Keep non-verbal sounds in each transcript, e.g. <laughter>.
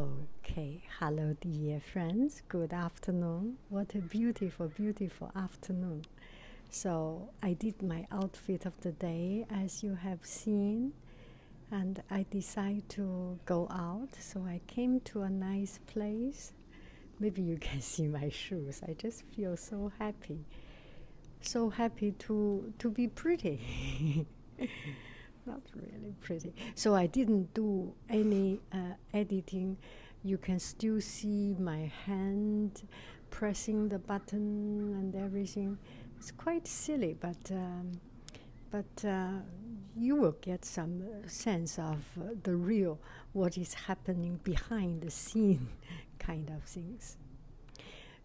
Okay, hello, dear friends. Good afternoon. What a beautiful, beautiful afternoon. So, I did my outfit of the day as you have seen, and I decided to go out. So, I came to a nice place. Maybe you <laughs> can see my shoes. I just feel so happy. So happy to, to be pretty. <laughs> That's really pretty. So I didn't do any uh, editing. You can still see my hand pressing the button and everything. It's quite silly, but um, but uh, you will get some uh, sense of the real, what is happening behind the scene, <laughs> kind of things.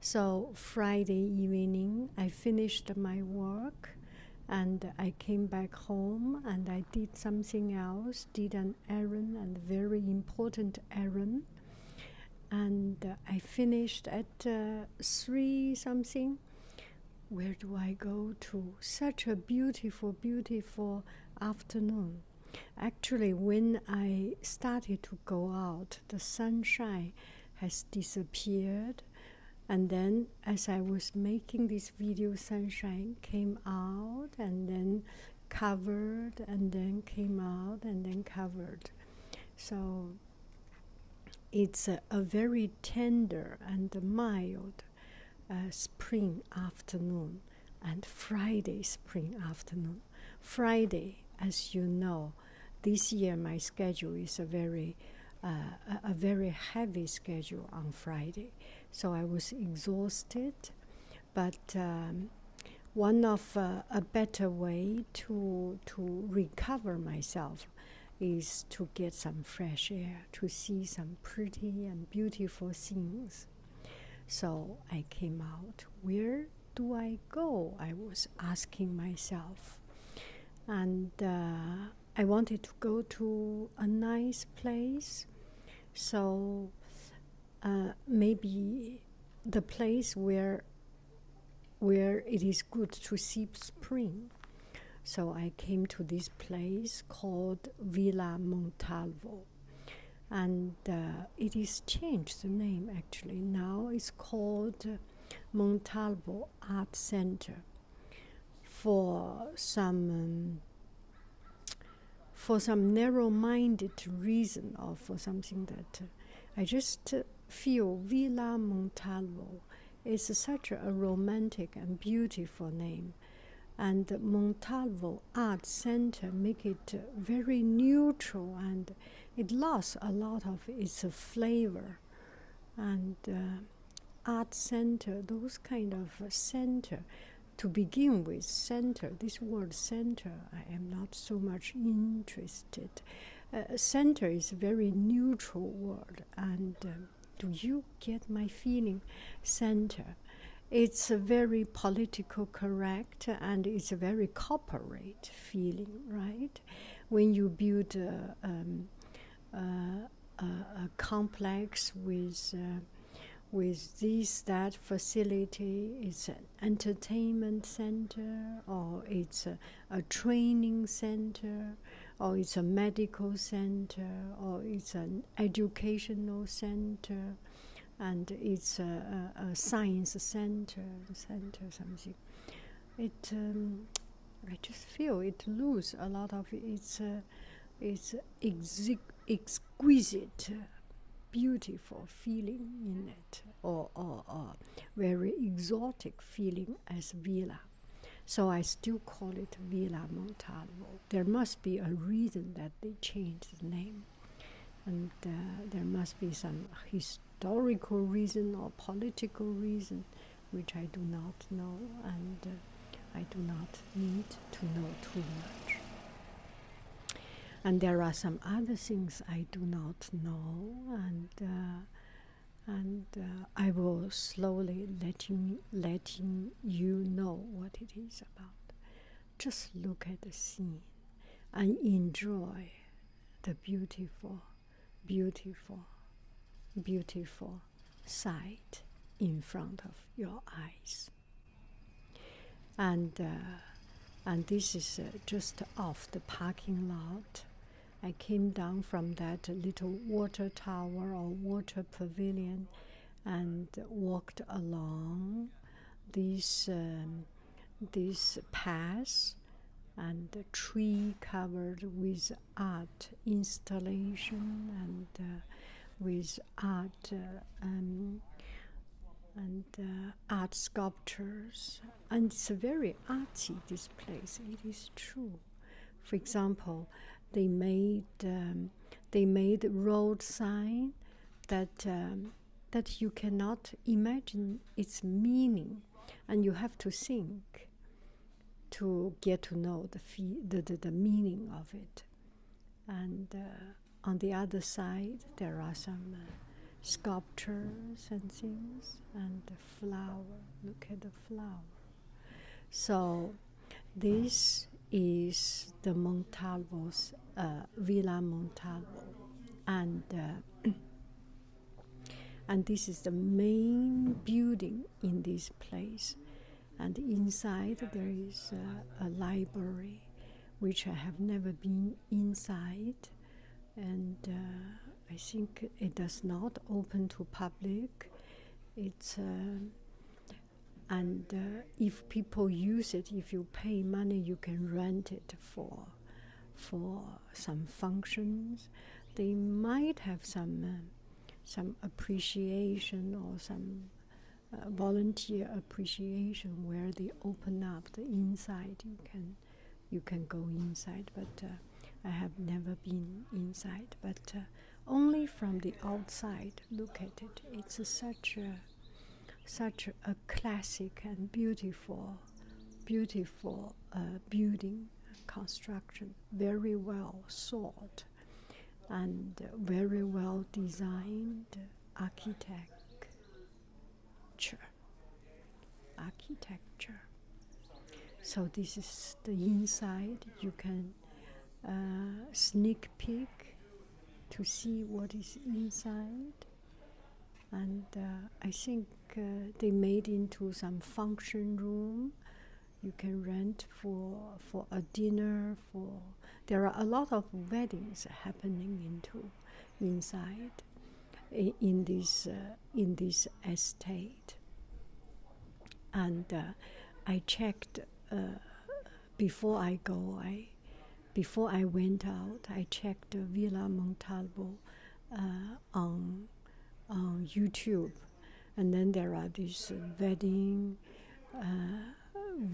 So Friday evening, I finished my work and I came back home and I did something else, did an errand and very important errand, and I finished at uh, three something. Where do I go to? Such a beautiful, beautiful afternoon. Actually, when I started to go out, the sunshine has disappeared and then as I was making this video, sunshine came out and then covered and then came out and then covered. So it's a, very tender and mild uh, spring afternoon and Friday spring afternoon. Friday, as you know, this year, my schedule is a very, uh, a, very heavy schedule on Friday, so I was exhausted. But um, one of uh, a better way to to recover myself is to get some fresh air, to see some pretty and beautiful things. So I came out. Where do I go? I was asking myself. And uh, I wanted to go to a nice place, so uh, maybe the place where where it is good to see spring. So I came to this place called Villa Montalvo, and uh, it is changed the name actually. Now it's called Montalvo Art Center for some um, for some narrow-minded reason or for something that uh, I just uh, feel Villa Montalvo is such a romantic and beautiful name and Montalvo Art Center make it very neutral and it lost a lot of its flavor and uh, art center, those kind of uh, center. To begin with, center, this word center, I am not so much interested. Uh, center is a very neutral word, and um, do you get my feeling? Center. It's a very political correct and it's a very corporate feeling, right? When you build a, um, a, complex with uh, with this that facility. It's an entertainment center, or it's a, a training center, or it's a medical center, or it's an educational center, and it's a, a, science center, center something. It um, I just feel it lose a lot of its uh, its exquisite, uh, beautiful feeling in it, or, or, very exotic feeling as villa. So I still call it Villa Montalvo. There must be a reason that they changed the name, and uh, there must be some historical reason or political reason which I do not know and uh, I do not need to know too much. And there are some other things I do not know, and uh, and uh, I will slowly let letting you know what it is about. Just look at the scene and enjoy the beautiful beautiful, beautiful sight in front of your eyes. And uh, and this is uh, just off the parking lot. I came down from that little water tower or water pavilion and walked along these um, these paths and tree covered with art installation and uh, with art uh, um, and uh, art sculptures. And it's a very arty, this place, it is true. For example, they made um, they made road sign that um, that you cannot imagine its meaning, and you have to think to get to know the, the, meaning of it. And uh, on the other side, there are some uh, sculptures and things, and the flower. Look at the flower. So, this is the Montalvo's uh, Villa Montalvo, and <clears throat> and this is the main building in this place. And inside there is a, library which I have never been inside. And uh, I think it does not open to public. It's uh, and uh, if people use it, if you pay money, you can rent it for for some functions. They might have some some appreciation or some uh, volunteer appreciation where they open up the inside you can you can go inside but uh, I have never been inside but uh, only from the outside look at it it's such a such a classic and beautiful beautiful building construction very well thought and very well designed architecture. Architecture. So this is the inside. You can uh, sneak peek to see what is inside, and uh, I think uh, they made into some function room you can rent for for a dinner for there are a lot of weddings happening into inside in, this uh, in this estate and uh, I checked uh, before I go I before I went out I checked Villa Montalvo on on YouTube and then there are these wedding, uh,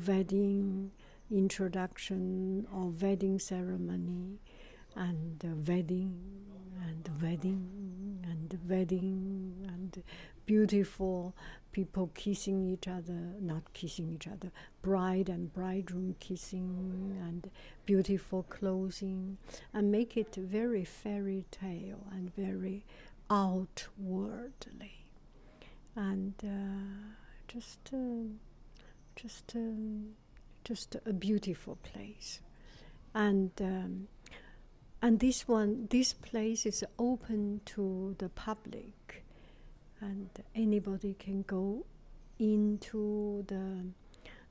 wedding introduction or wedding ceremony, and wedding and wedding and wedding and beautiful people kissing each other, not kissing each other, bride and bridegroom kissing and beautiful closing, and make it very fairy tale and very outwardly and uh, just um, just um, just a beautiful place and um, and this one this place is open to the public and anybody can go into the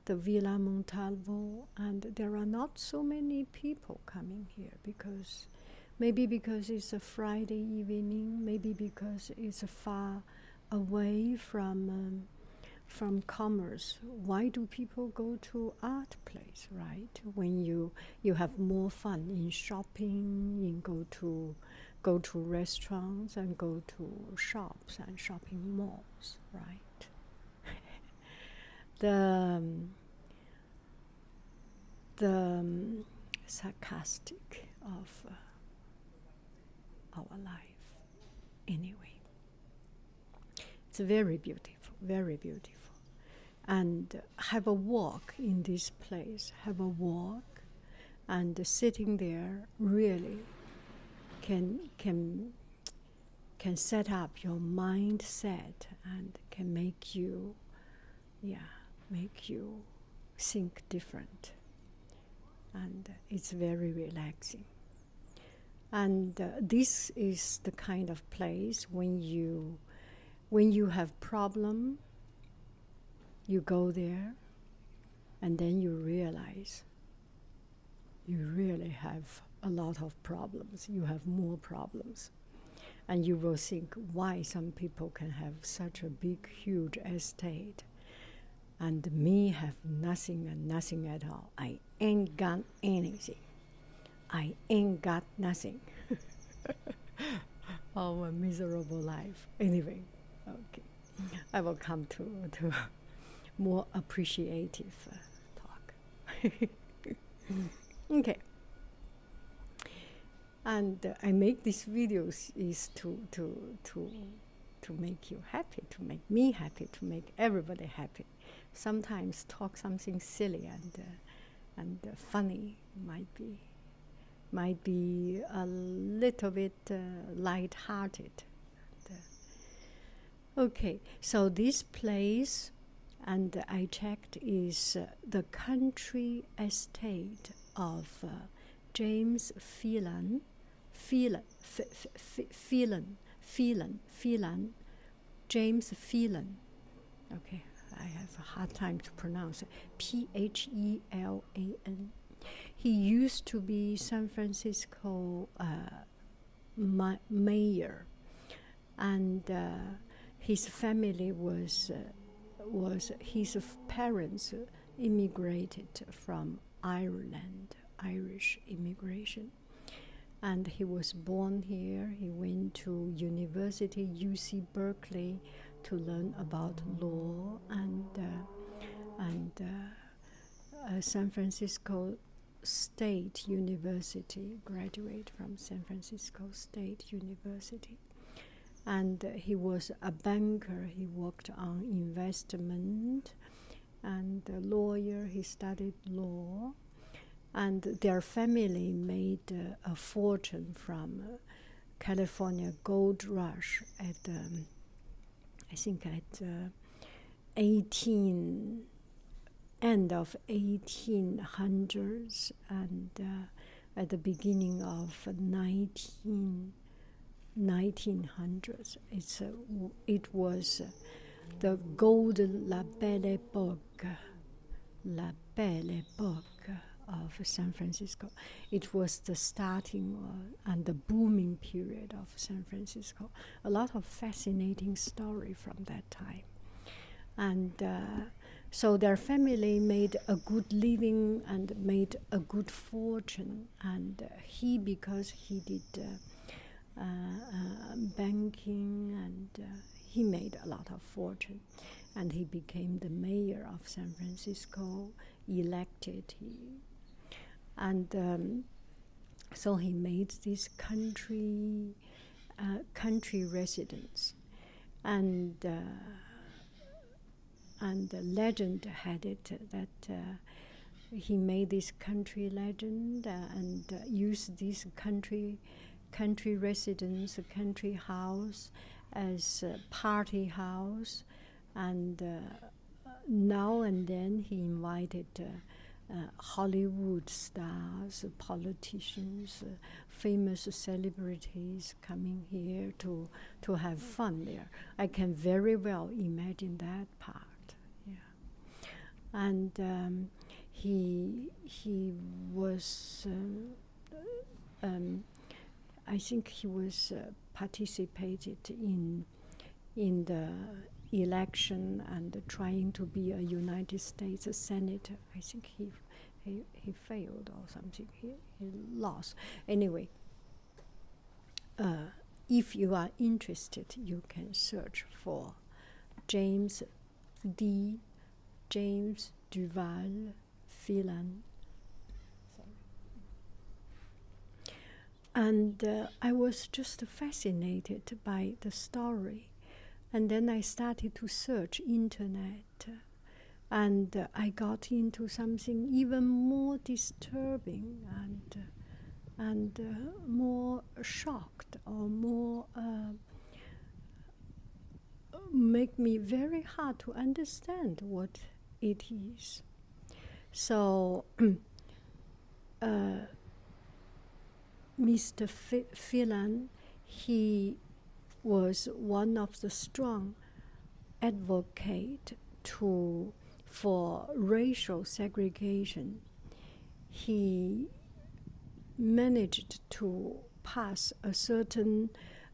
the Villa Montalvo and there are not so many people coming here because maybe because it's a Friday evening, maybe because it's far away from um, from commerce. Why do people go to art place, right? When you you have more fun in shopping, in go to go to restaurants and go to shops and shopping malls, right? <laughs> the um, the um, sarcastic of uh, our life anyway it's very beautiful very beautiful and have a walk in this place have a walk and sitting there really can can can set up your mindset and can make you yeah make you think different and it's very relaxing and uh, this is the kind of place when you when you have problem you go there and then you realize you really have a lot of problems you have more problems and you will think why some people can have such a big, huge estate, and me have nothing and nothing at all. I ain't got anything. I ain't got nothing. <laughs> oh, a miserable life. Anyway, okay. I will come to, to more appreciative uh, talk. <laughs> okay and i make these videos is to to to to make you happy to make me happy to make everybody happy sometimes talk something silly and uh, and uh, funny might be might be a little bit uh, light-hearted okay so this place and I checked is uh, the country estate of uh, James Phelan, Phelan, Phelan, Phelan, Phelan, James Phelan. Okay, I have a hard time to pronounce P H E L A N. He used to be San Francisco uh, mayor and uh, his family was uh, was his parents immigrated from Ireland, Irish immigration, and he was born here. He went to university, UC Berkeley, to learn about law and uh, and San Francisco State University graduate from San Francisco State University. And he was a banker, he worked on investment, and a lawyer, he studied law. And their family made a fortune from uh, California gold rush at, um, I think, at uh, 18 end of 1800s and uh, at the beginning of 19 1900s it's uh, it was the golden la belle époque la belle époque of San Francisco it was the starting uh, and the booming period of San Francisco a lot of fascinating story from that time and uh, so their family made a good living and made a good fortune. And uh, he, because he did uh, uh, banking and he made a lot of fortune. And he became the mayor of San Francisco, elected. He, and um, so he made this country uh, country residence, and uh, and the legend had it that. Uh, he made this country legend and used this country country residence, a country house, as party house, and now and then he invited Hollywood stars, politicians, famous celebrities coming here to to have fun there. I can very well imagine that part. Yeah, and um, he he was. Uh, um, I think he was uh, participated in in the election and trying to be a United States senator. I think he he he failed or something. He he lost. Anyway, uh, if you are interested, you can search for James D. James Duval Phelan. And uh, I was just fascinated by the story, and then I started to search internet and uh, I got into something even more disturbing and uh, and uh, more shocked or more make me very hard to understand what it is. So, <clears throat> Mr. F- Phelan, he was one of the strong advocate to for racial segregation. He managed to pass a certain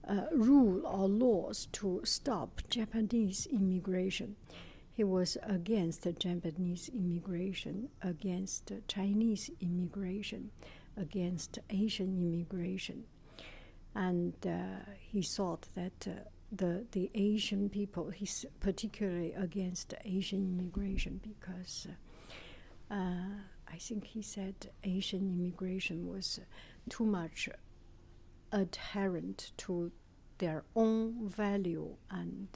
uh, rule or laws to stop Japanese immigration. He was against Japanese immigration, against Chinese immigration against Asian immigration. And uh, he thought that uh, the, the Asian people, he's particularly against Asian immigration because uh, I think he said Asian immigration was too much adherent to their own value and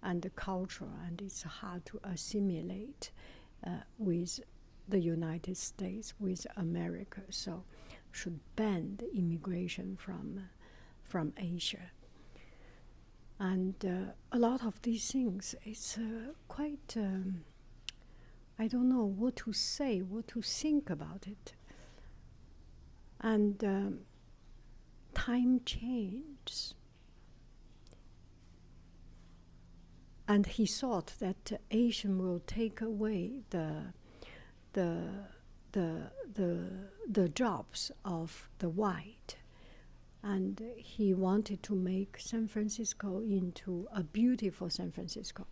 and culture, and it's hard to assimilate with the United States with America, so should ban immigration from from Asia. And uh, a lot of these things, it's uh, quite. Um, I don't know what to say, what to think about it. And um, time changes. And he thought that Asian will take away the, the, the, the, the jobs of the white. And he wanted to make San Francisco into a beautiful San Francisco.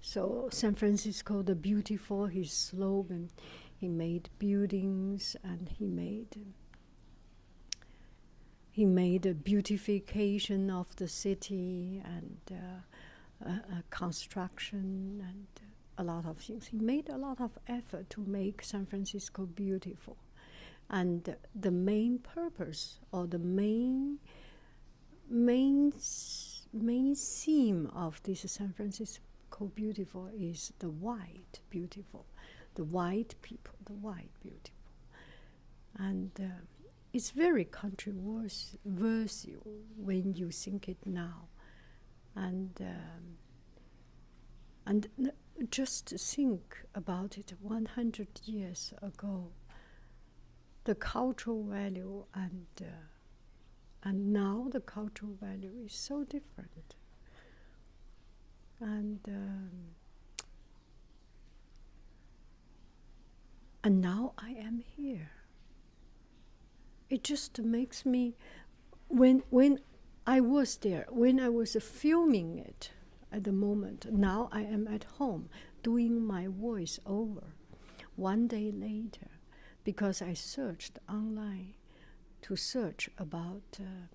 So, San Francisco the Beautiful, his slogan. He made buildings and he made he made a beautification of the city and uh, construction and a lot of things. He made a lot of effort to make San Francisco beautiful. And the main purpose or the main main main theme of this San Francisco beautiful is the white beautiful, the white people, the white beautiful and uh, it's very controversial when you think it now, and um, and just think about it. One hundred years ago, the cultural value and uh, and now the cultural value is so different. And um, and now I am here. It just makes me, when, when I was there, when I was filming it at the moment, now I am at home doing my voice over. One day later, because I searched online to search about uh,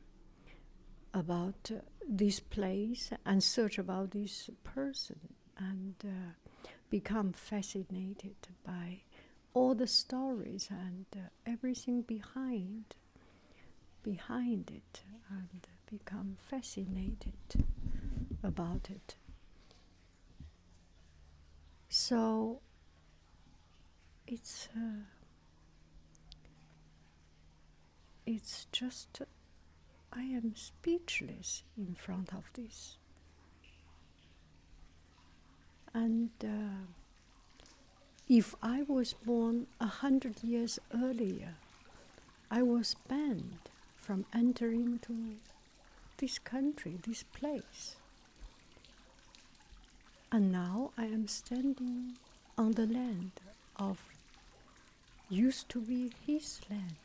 about this place and search about this person and uh, become fascinated by all the stories and uh, everything behind behind it and become fascinated about it so it's uh, it's just I am speechless in front of this. And uh, if I was born a hundred years earlier, I was banned from entering to this country, this place. And now I am standing on the land of used to be his land.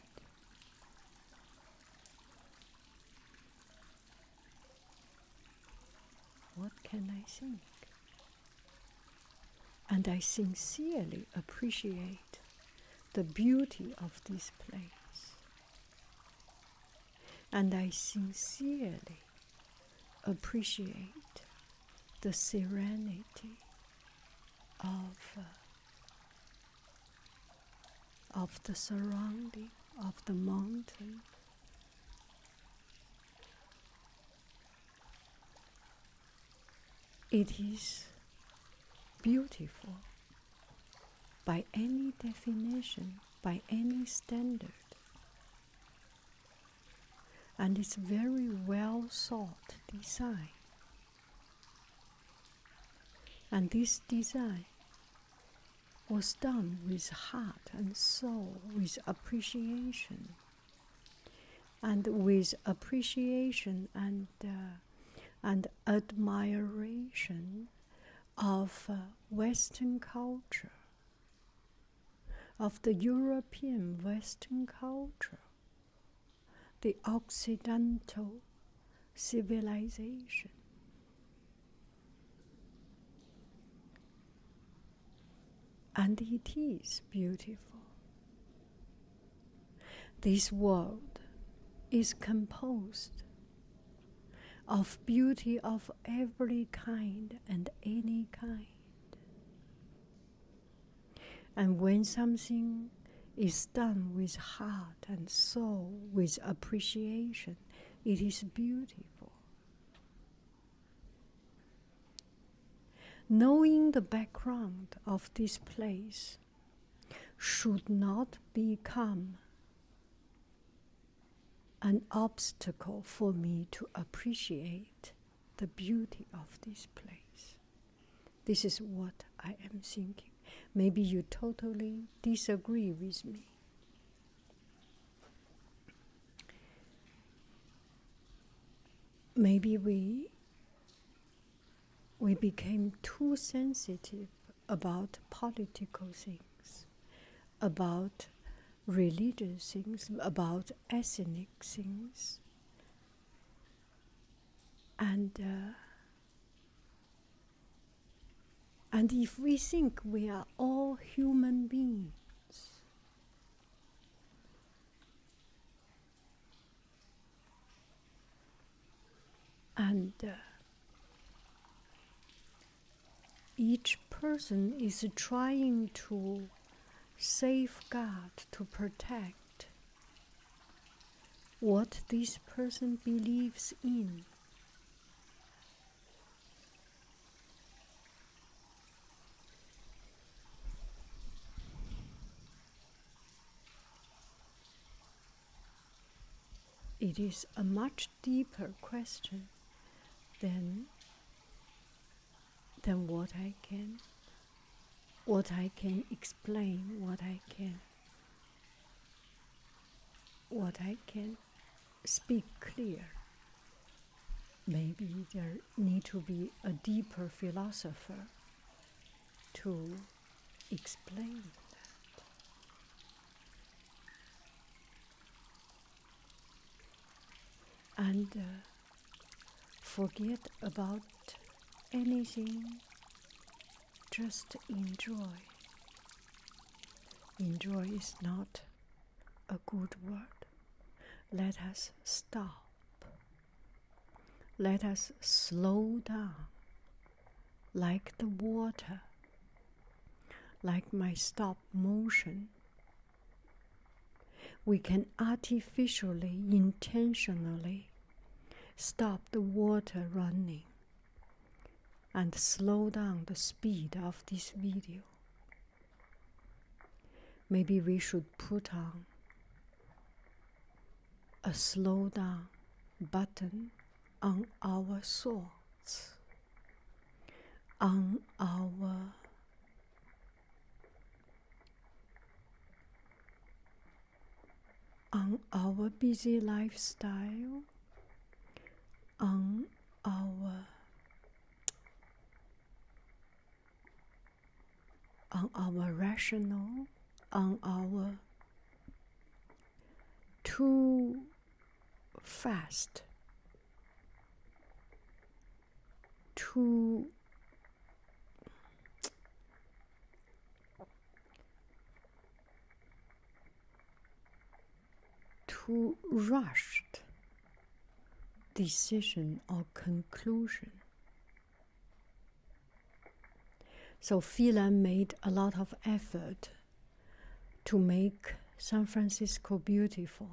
What can I think? And I sincerely appreciate the beauty of this place. And I sincerely appreciate the serenity of, uh, of the surrounding of the mountain. It is beautiful by any definition, by any standard. And it's very well thought design and this design was done with heart and soul, with appreciation. And with appreciation and, uh, and admiration of uh, Western culture, of the European Western culture, the Occidental civilization. And it is beautiful. This world is composed of beauty of every kind and any kind. And when something is done with heart and soul, with appreciation, it is beautiful. Knowing the background of this place should not become an obstacle for me to appreciate the beauty of this place. This is what I am thinking. Maybe you totally disagree with me. Maybe we we became too sensitive about political things, about religious things, about ethnic things and uh, and if we think we are all human beings and uh, each person is trying to safeguard, to protect what this person believes in. It is a much deeper question than, than what I can what I can explain, what I can, what I can speak clear. Maybe there need to be a deeper philosopher to explain that. And uh, forget about anything, just enjoy. Enjoy is not a good word. Let us stop. Let us slow down like the water, like my stop motion. We can artificially, intentionally stop the water running, and slow down the speed of this video. Maybe we should put on a slow down button on our thoughts, on our on our busy lifestyle, on our on our rational, on our too fast, too too rushed decision or conclusion. So Phelan made a lot of effort to make San Francisco beautiful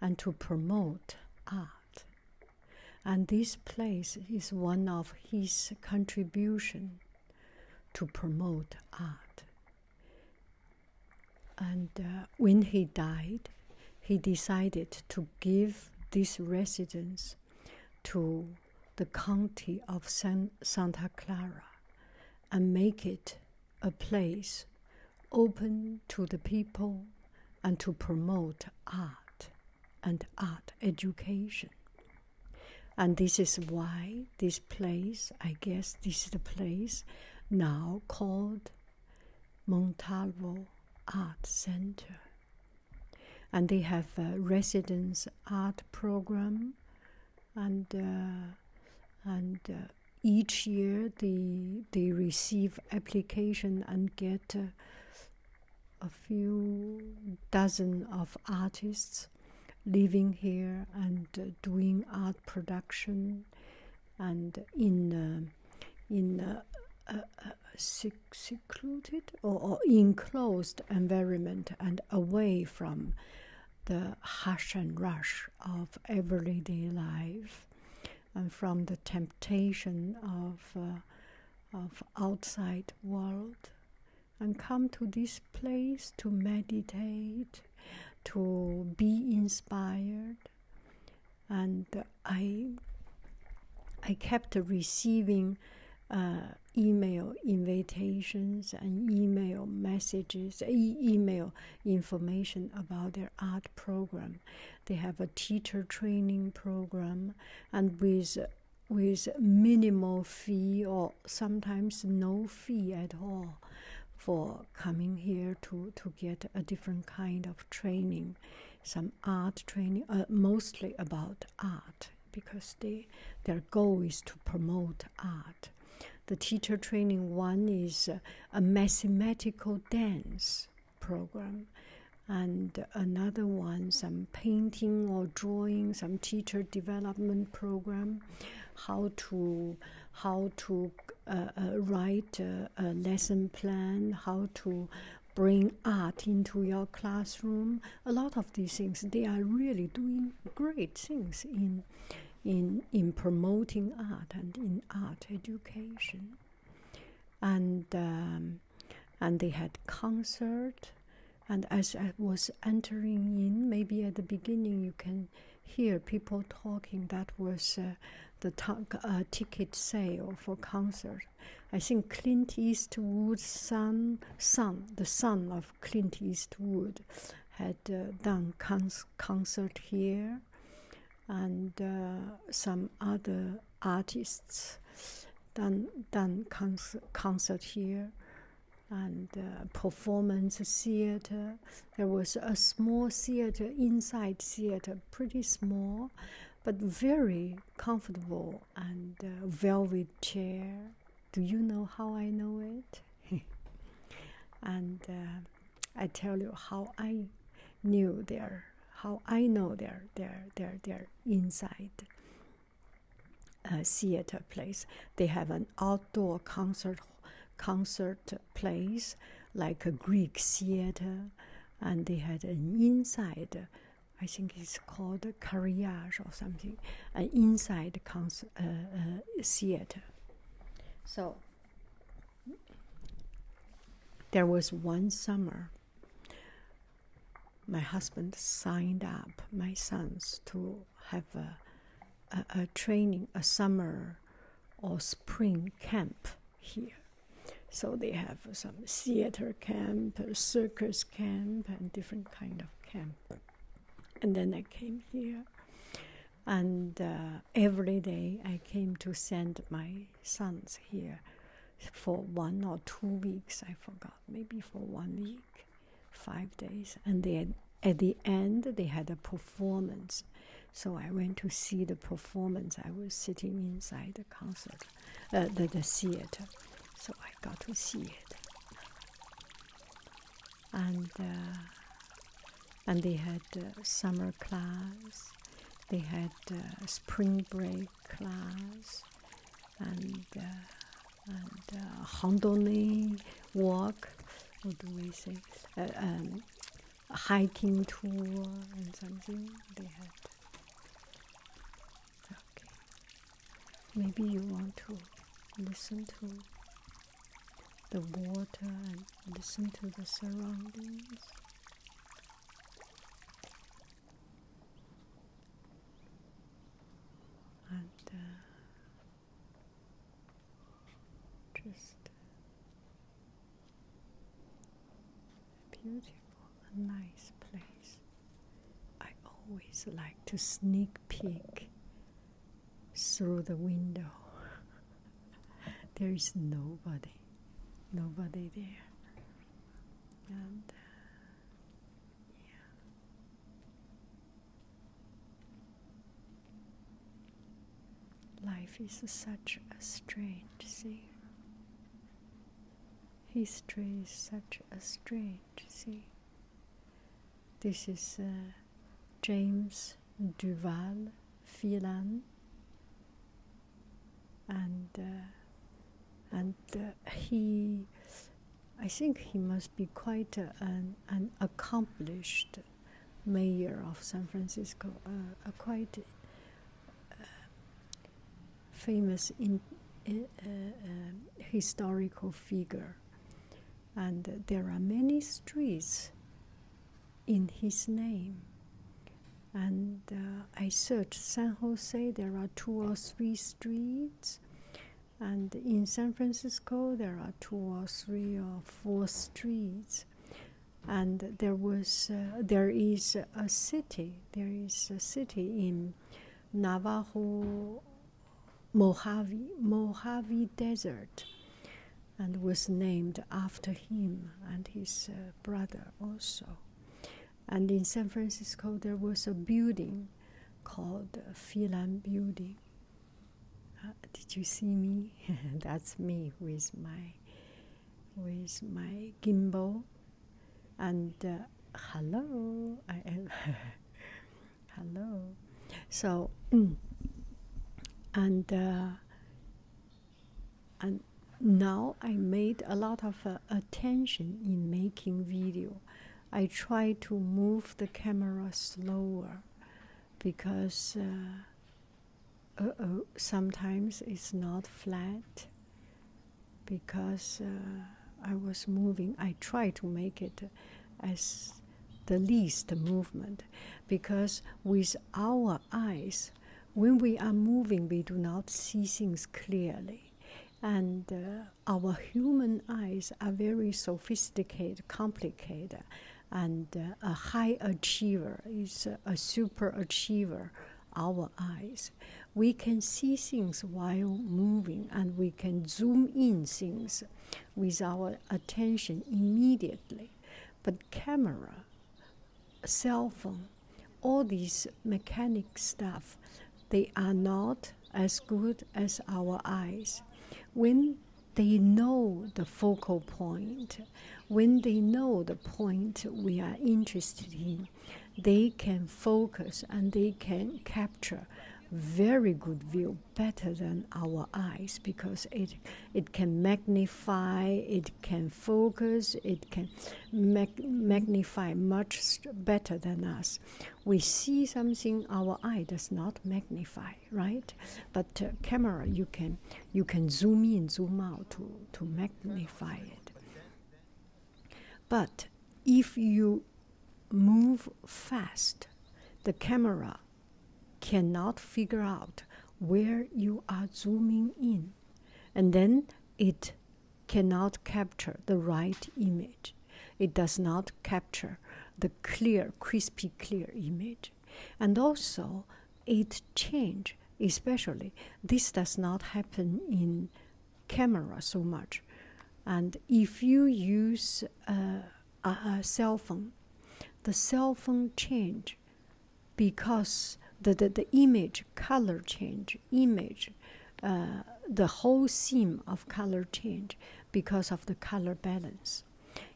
and to promote art. And this place is one of his contribution to promote art. And uh, when he died, he decided to give this residence to the county of Santa Clara and make it a place open to the people and to promote art and art education. And this is why this place, I guess this is the place now called Montalvo Art Center. And they have a residence art program, and uh, and uh, each year they they receive application and get uh, a few dozen of artists living here and uh, doing art production and in uh, in a, uh, secluded or, enclosed environment and away from the hush and rush of everyday life and from the temptation of of outside world and come to this place to meditate, to be inspired. And I, I kept receiving uh, email invitations and email messages, email information about their art program. They have a teacher training program, and with with minimal fee or sometimes no fee at all for coming here to to get a different kind of training some art training uh, mostly about art because they their goal is to promote art the teacher training one is a mathematical dance program and another one some painting or drawing, some teacher development program, how to how to uh, uh, write a, lesson plan, how to bring art into your classroom. A lot of these things they are really doing great things in in in promoting art and in art education. And um, and they had concert and as i was entering in maybe at the beginning you can hear people talking that was uh, the uh, ticket sale for concert i think clint eastwood's son son the son of clint eastwood had uh, done concert here and some other artists done done concert, concert here and uh, performance theater. There was a small theater inside theater, pretty small, but very comfortable and uh, velvet chair. Do you know how I know it? <laughs> and uh, I tell you how I knew there, how I know there, there, there, there inside. Uh, theater place. They have an outdoor concert concert place, like a Greek theater, and they had an inside. I think it's called carriage or something, an inside concert uh, uh, theater. So there was one summer my husband signed up my sons to have a, a, training, a summer or spring camp here. So they have some theater camp, circus camp, and different kind of camp. And then I came here, and uh, every day I came to send my sons here for one or two weeks. I forgot, maybe for one week five days, and then at the end they had a performance. So I went to see the performance. I was sitting inside the concert, uh, the, the theater, so I got to see it. And uh, and they had uh, summer class, they had spring break class, and and uh, handling, walk, what do we say, uh, um, hiking tour and something they had. Okay. Maybe you want to listen to the water and listen to the surroundings and uh, just a uh, beautiful and nice place. I always like to sneak peek through the window. <laughs> there is nobody, nobody there. And uh, yeah. Life is such a strange thing. History is such a strange thing. This is uh, James Duval Phelan and uh, and uh, he I think he must be quite an, accomplished mayor of San Francisco, a quite uh, famous uh, uh, historical figure. And there are many streets in his name. And I searched San Jose, there are two or three streets. And in San Francisco, there are two or three or four streets, and there was uh, there is a city. There is a city in Navajo, Mojave, Mojave Desert, and was named after him and his uh, brother also. And in San Francisco, there was a building called the uh, Phelan Building. Uh, did you see me? <laughs> That's me with my with my gimbal. And uh, hello, I am <laughs> hello. So <clears throat> and and now I made a lot of attention in making video. I try to move the camera slower because uh, sometimes it's not flat because uh, I was moving. I try to make it as the least movement because with our eyes, when we are moving, we do not see things clearly. And uh, our human eyes are very sophisticated, complicated, and uh, a high achiever is a super achiever. Our eyes, we can see things while moving, and we can zoom in things with our attention immediately. But camera, cell phone, all these mechanic stuff they are not as good as our eyes. When they know the focal point, when they know the point we are interested in, they can focus and they can capture very good view better than our eyes because it it can magnify it can focus it can magnify much better than us we see something our eye does not magnify right but uh, camera you can you can zoom in zoom out to to magnify it but if you move fast the camera cannot figure out where you are zooming in and then it cannot capture the right image it does not capture the clear, crispy clear image. And also it change, especially this does not happen in camera so much. And if you use uh, a, cell phone, the cell phone change because the, the, image color change, image, uh, the whole scene of color change because of the color balance.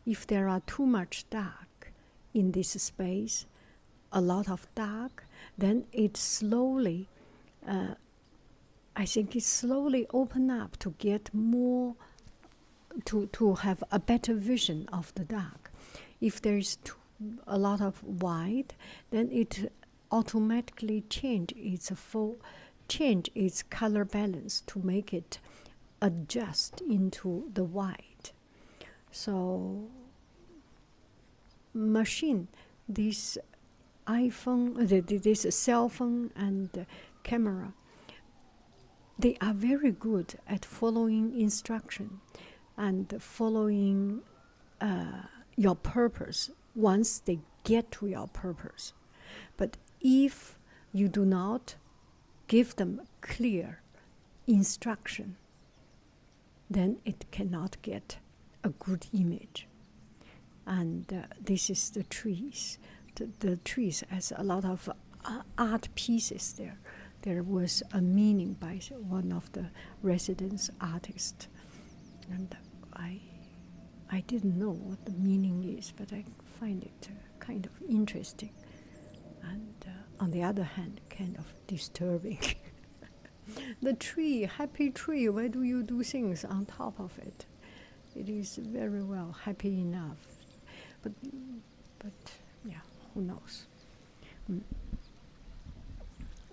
If there are too much dark in this space, a lot of dark, then it slowly, uh, I think it slowly open up to get more, to, to have a better vision of the dark. If there is a lot of white, then it automatically change its full change its color balance to make it adjust into the white. So machine this iPhone this cell phone and camera they are very good at following instruction and following uh, your purpose once they get to your purpose but if you do not give them clear instruction, then it cannot get a good image. And uh, this is the trees. The, trees has a lot of uh, art pieces there. There was a meaning by one of the residents artists, and I I didn't know what the meaning is, but I find it uh, kind of interesting, and uh, on the other hand, kind of disturbing. <laughs> the tree, happy tree, where do you do things on top of it? It is very well happy enough, but but yeah, who knows? Hmm.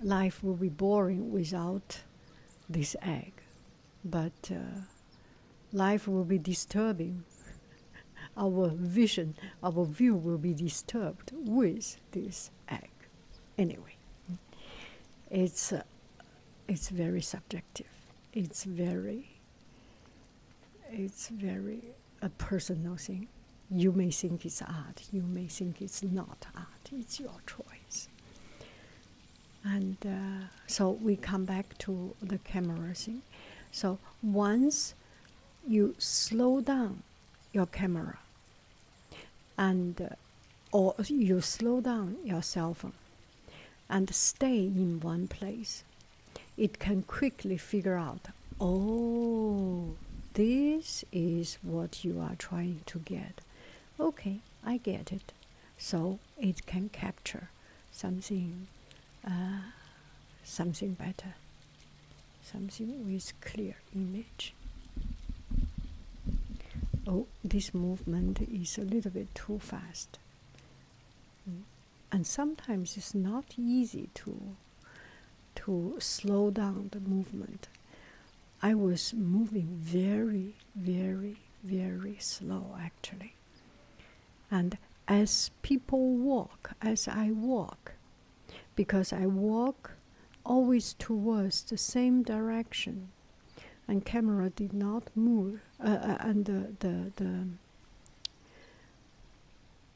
Life will be boring without this egg but uh, life will be disturbing. <laughs> our vision, our view will be disturbed with this act. Anyway, it's uh, it's very subjective. It's very it's very a personal thing. You may think it's art, you may think it's not art. It's your choice and uh, so we come back to the camera thing so once you slow down your camera and uh, or you slow down your cell and stay in one place it can quickly figure out oh this is what you are trying to get okay i get it so it can capture something uh, something better something with clear image oh this movement is a little bit too fast and sometimes it's not easy to to slow down the movement i was moving very very very slow actually and as people walk, as I walk, because I walk always towards the same direction, and camera did not move, uh, uh, and the, the the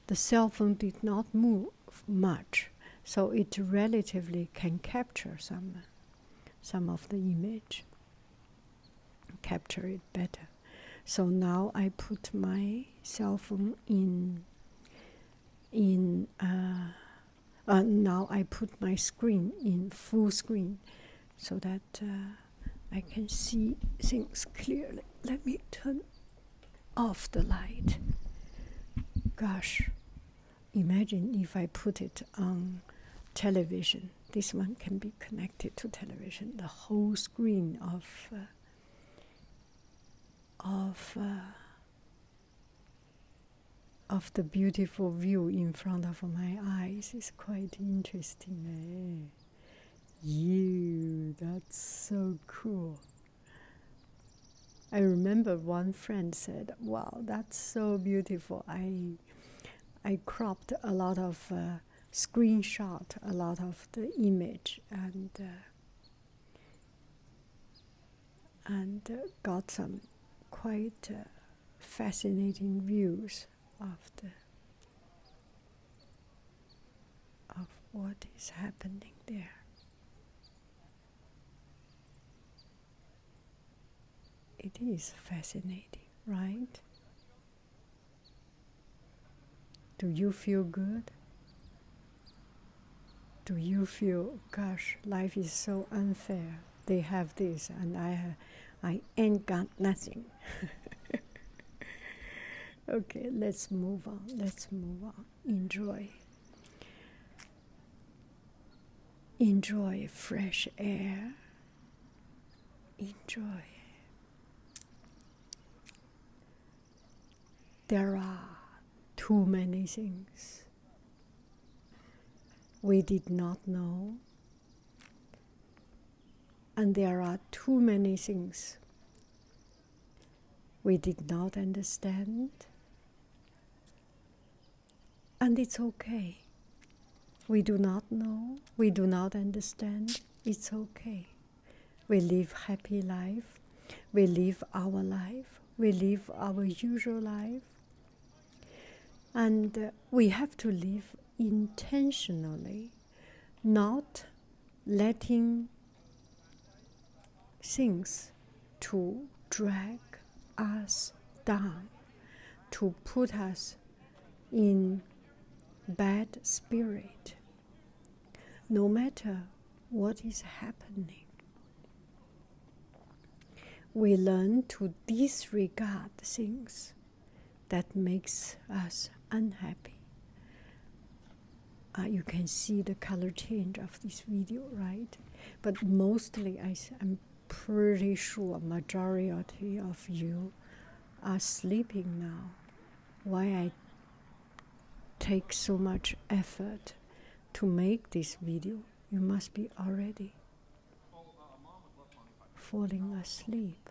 the cell phone did not move much, so it relatively can capture some some of the image capture it better. So now I put my cell phone in in uh, uh, now I put my screen in full screen so that uh, I can see things clearly. Let me turn off the light. Gosh, imagine if I put it on television this one can be connected to television. The whole screen of uh, uh, of the beautiful view in front of my eyes is quite interesting. Eh? You, that's so cool. I remember one friend said, "Wow, that's so beautiful. I I cropped a lot of uh, screenshot, a lot of the image, and uh, and uh, got some quite uh, fascinating views of of what is happening there. It is fascinating, right? Do you feel good? Do you feel, gosh, life is so unfair? They have this, and I, I ain't got nothing. <laughs> okay, let's move on. Let's move on. Enjoy. Enjoy fresh air Enjoy. There are too many things we did not know, and there are too many things we did not understand, and it's okay we do not know, we do not understand. It's okay. We live happy life. We live our life. We live our usual life. And uh, we have to live intentionally, not letting things to drag us down, to put us in bad spirit no matter what is happening we learn to disregard things that makes us unhappy uh, you can see the color change of this video right but mostly i'm pretty sure majority of you are sleeping now, why I take so much effort to make this video. You must be already falling asleep.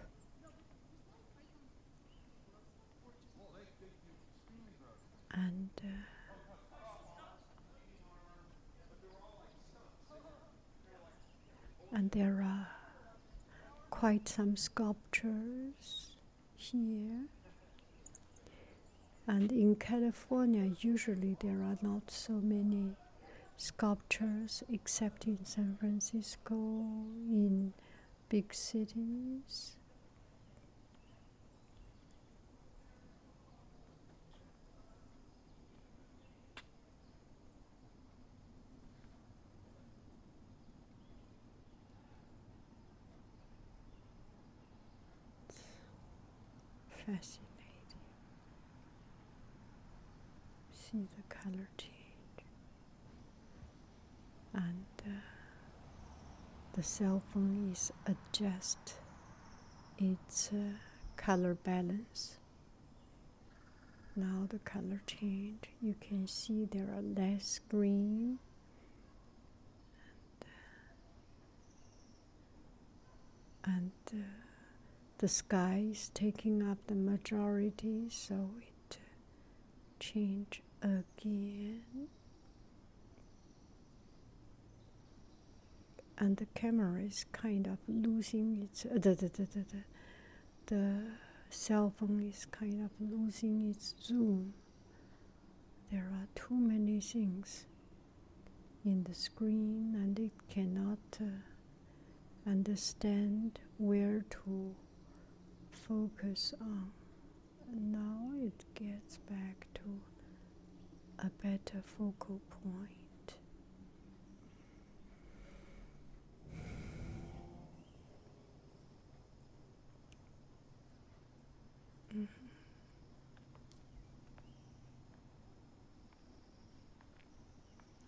And uh, and there are quite some sculptures here. And in California, usually there are not so many sculptures except in San Francisco, in big cities. Fascinating. See the color change and uh, the cell phone is adjust its uh, color balance now the color change you can see there are less green and, uh, uh, the sky is taking up the majority so it uh, change again and the camera is kind of losing it the cell phone is kind of losing its zoom. There are too many things in the screen, and it cannot uh, understand where to focus on. Now it gets back to a better focal point. Mm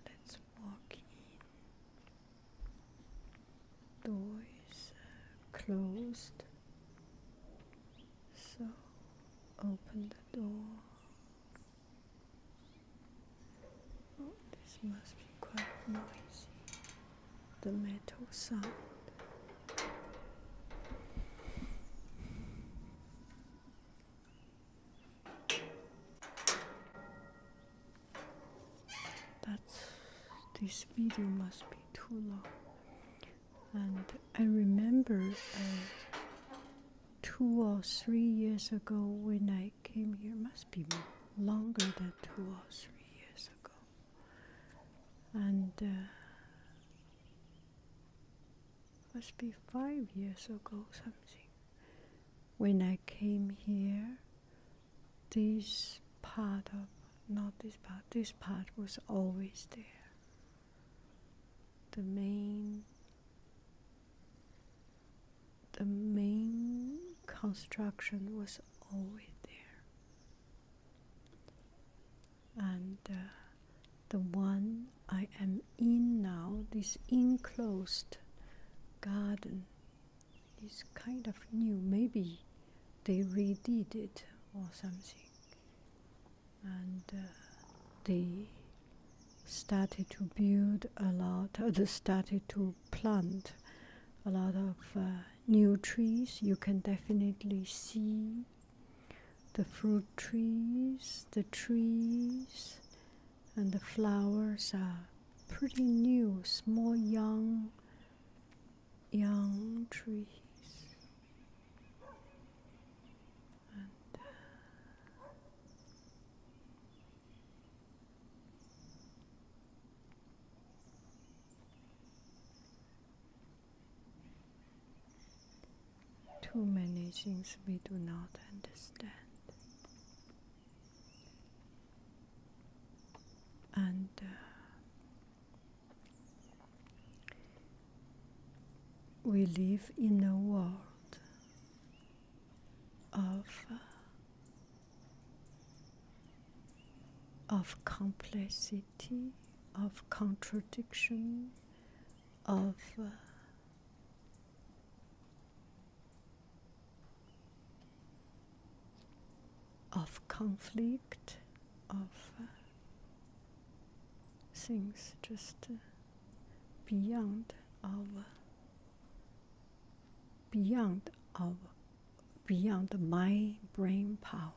Let's walk in. Door closed, so open the door this must be quite noisy. The metal sound. That's this video must be too long. And I remember uh, two or three years ago when I came here, must be longer than two or three years ago. And uh, must be five years ago, or something. When I came here, this part of, not this part, this part was always there. The main the main construction was always there. And uh, the one I am in now, this enclosed garden, is kind of new. Maybe they redid it or something. And uh, they started to build a lot, <laughs> they started to plant a lot of uh, new trees, you can definitely see the fruit trees, the trees, and the flowers are pretty new, small, young, young trees. Uh, too many things we do not understand. And uh, we live in a world of uh, of complexity, of contradiction, of uh, of conflict, of uh, things just uh, beyond our beyond of beyond my brain power.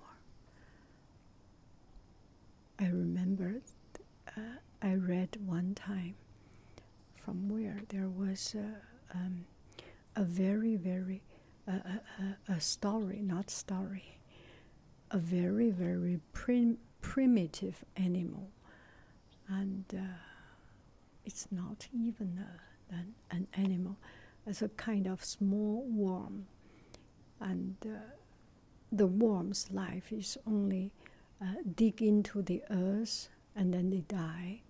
I remember, uh, I read one time from where there was a, um, very very a, story not story a very very primitive animal and uh, it's not even an, animal, it's a kind of small worm. And uh, the worm's life is only uh, dig into the earth and then they die.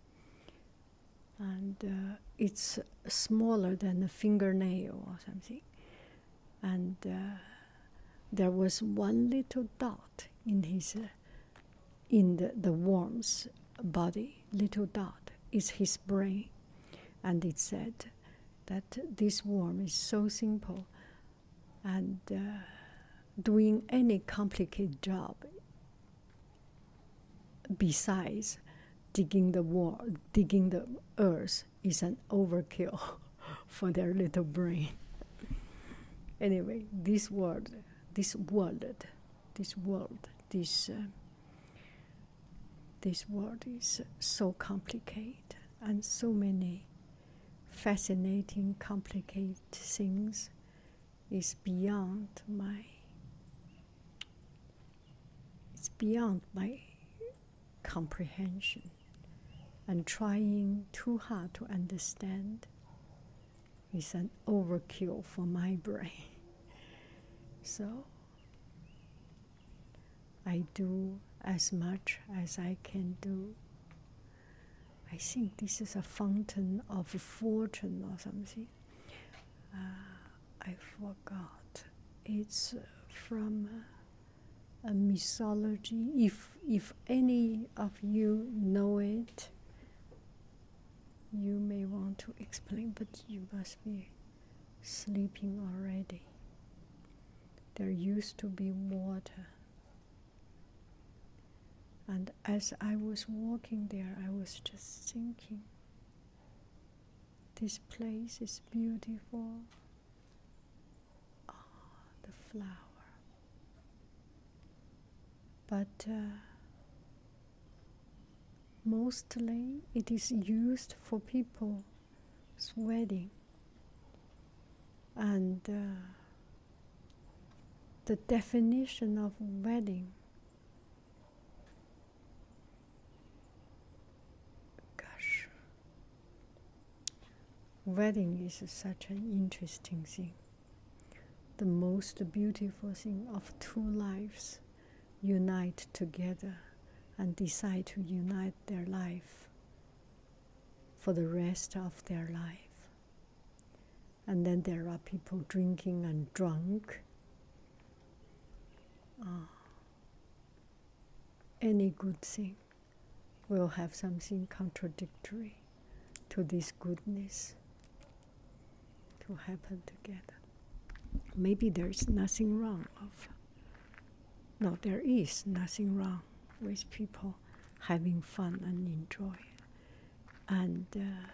And uh, it's smaller than a fingernail or something. And there was one little dot in his in the, the worm's body, little dot, is his brain. And it said that this worm is so simple and uh, doing any complicated job besides digging the wall, digging the earth is an overkill <laughs> for their little brain. anyway, this world, this world, this world this uh, this world is so complicated and so many fascinating, complicated things is beyond my it's beyond my comprehension and trying too hard to understand it's an overkill for my brain. <laughs> So I do as much as I can do. I think this is a fountain of fortune or something. Uh, I forgot. It's uh, from uh, a mythology. If if any of you know it, you may want to explain, but you must be sleeping already. There used to be water. And as I was walking there, I was just thinking, this place is beautiful. Ah, the flower but uh, mostly it is used for people's wedding and uh, the definition of wedding gosh wedding is such an interesting thing the most beautiful thing of two lives unite together and decide to unite their life for the rest of their life. And then there are people drinking and drunk. Ah. Any good thing will have something contradictory to this goodness to happen together. Maybe there's nothing wrong of no, there is nothing wrong with people having fun and enjoying. And uh,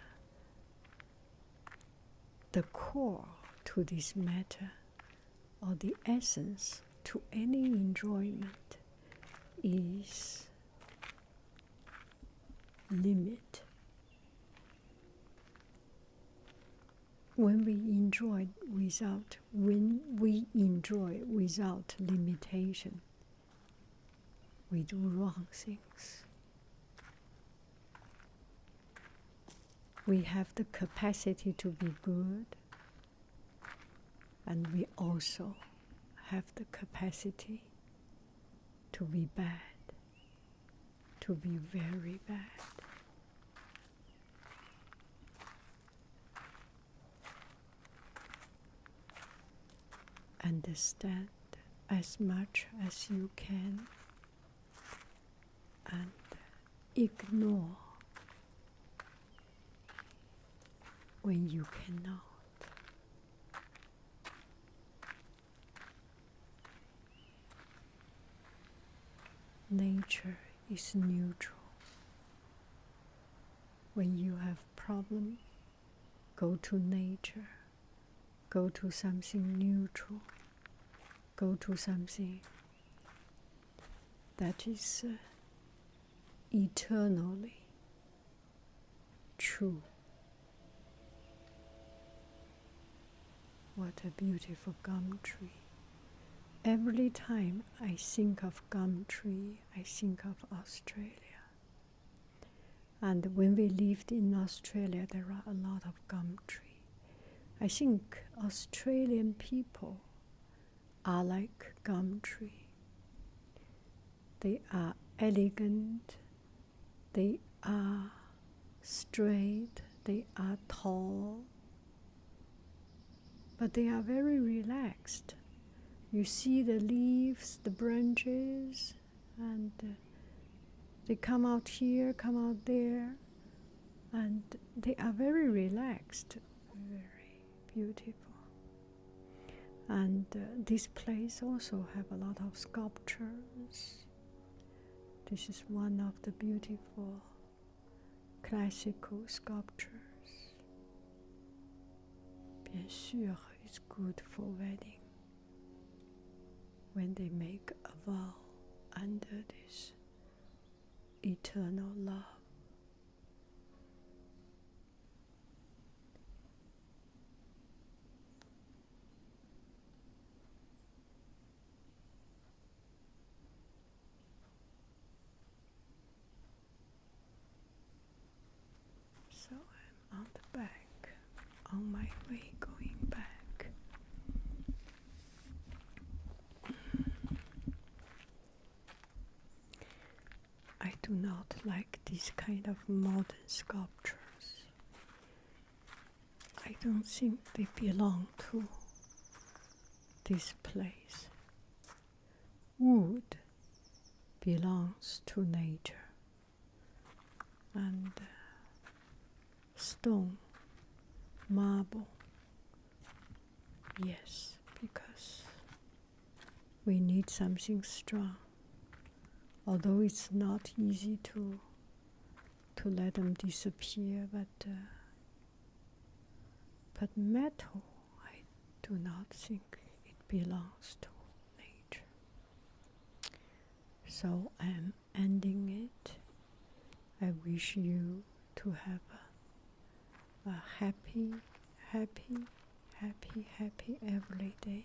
the core to this matter, or the essence to any enjoyment, is limit. When we enjoy without when we enjoy without limitation, we do wrong things. We have the capacity to be good, and we also have the capacity to be bad to be very bad. Understand as much as you can and ignore when you cannot. Nature is neutral. When you have problems, go to nature. Go to something neutral. Go to something that is uh, eternally true. What a beautiful gum tree. Every time I think of gum tree, I think of Australia. And when we lived in Australia, there are a lot of gum tree. I think Australian people are like gum tree. They are elegant they are straight, they are tall, but they are very relaxed. You see the leaves, the branches, and uh, they come out here, come out there, and they are very relaxed, very beautiful. And uh, this place also have a lot of sculptures this is one of the beautiful classical sculptures. Bien sûr is good for wedding when they make a vow under this eternal love. So I'm on the back, on my way going back. I do not like these kind of modern sculptures. I don't think they belong to this place. Wood belongs to nature, and uh, stone, marble, yes, because we need something strong. Although it's not easy to to let them disappear, but uh, but metal, I do not think it belongs to nature. So I'm ending it. I wish you to have a happy, happy, happy, happy every day.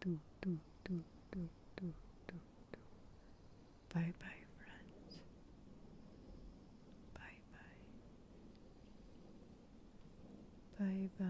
do, do, do, do, do, do, do. Bye bye, friends. Bye bye. Bye bye.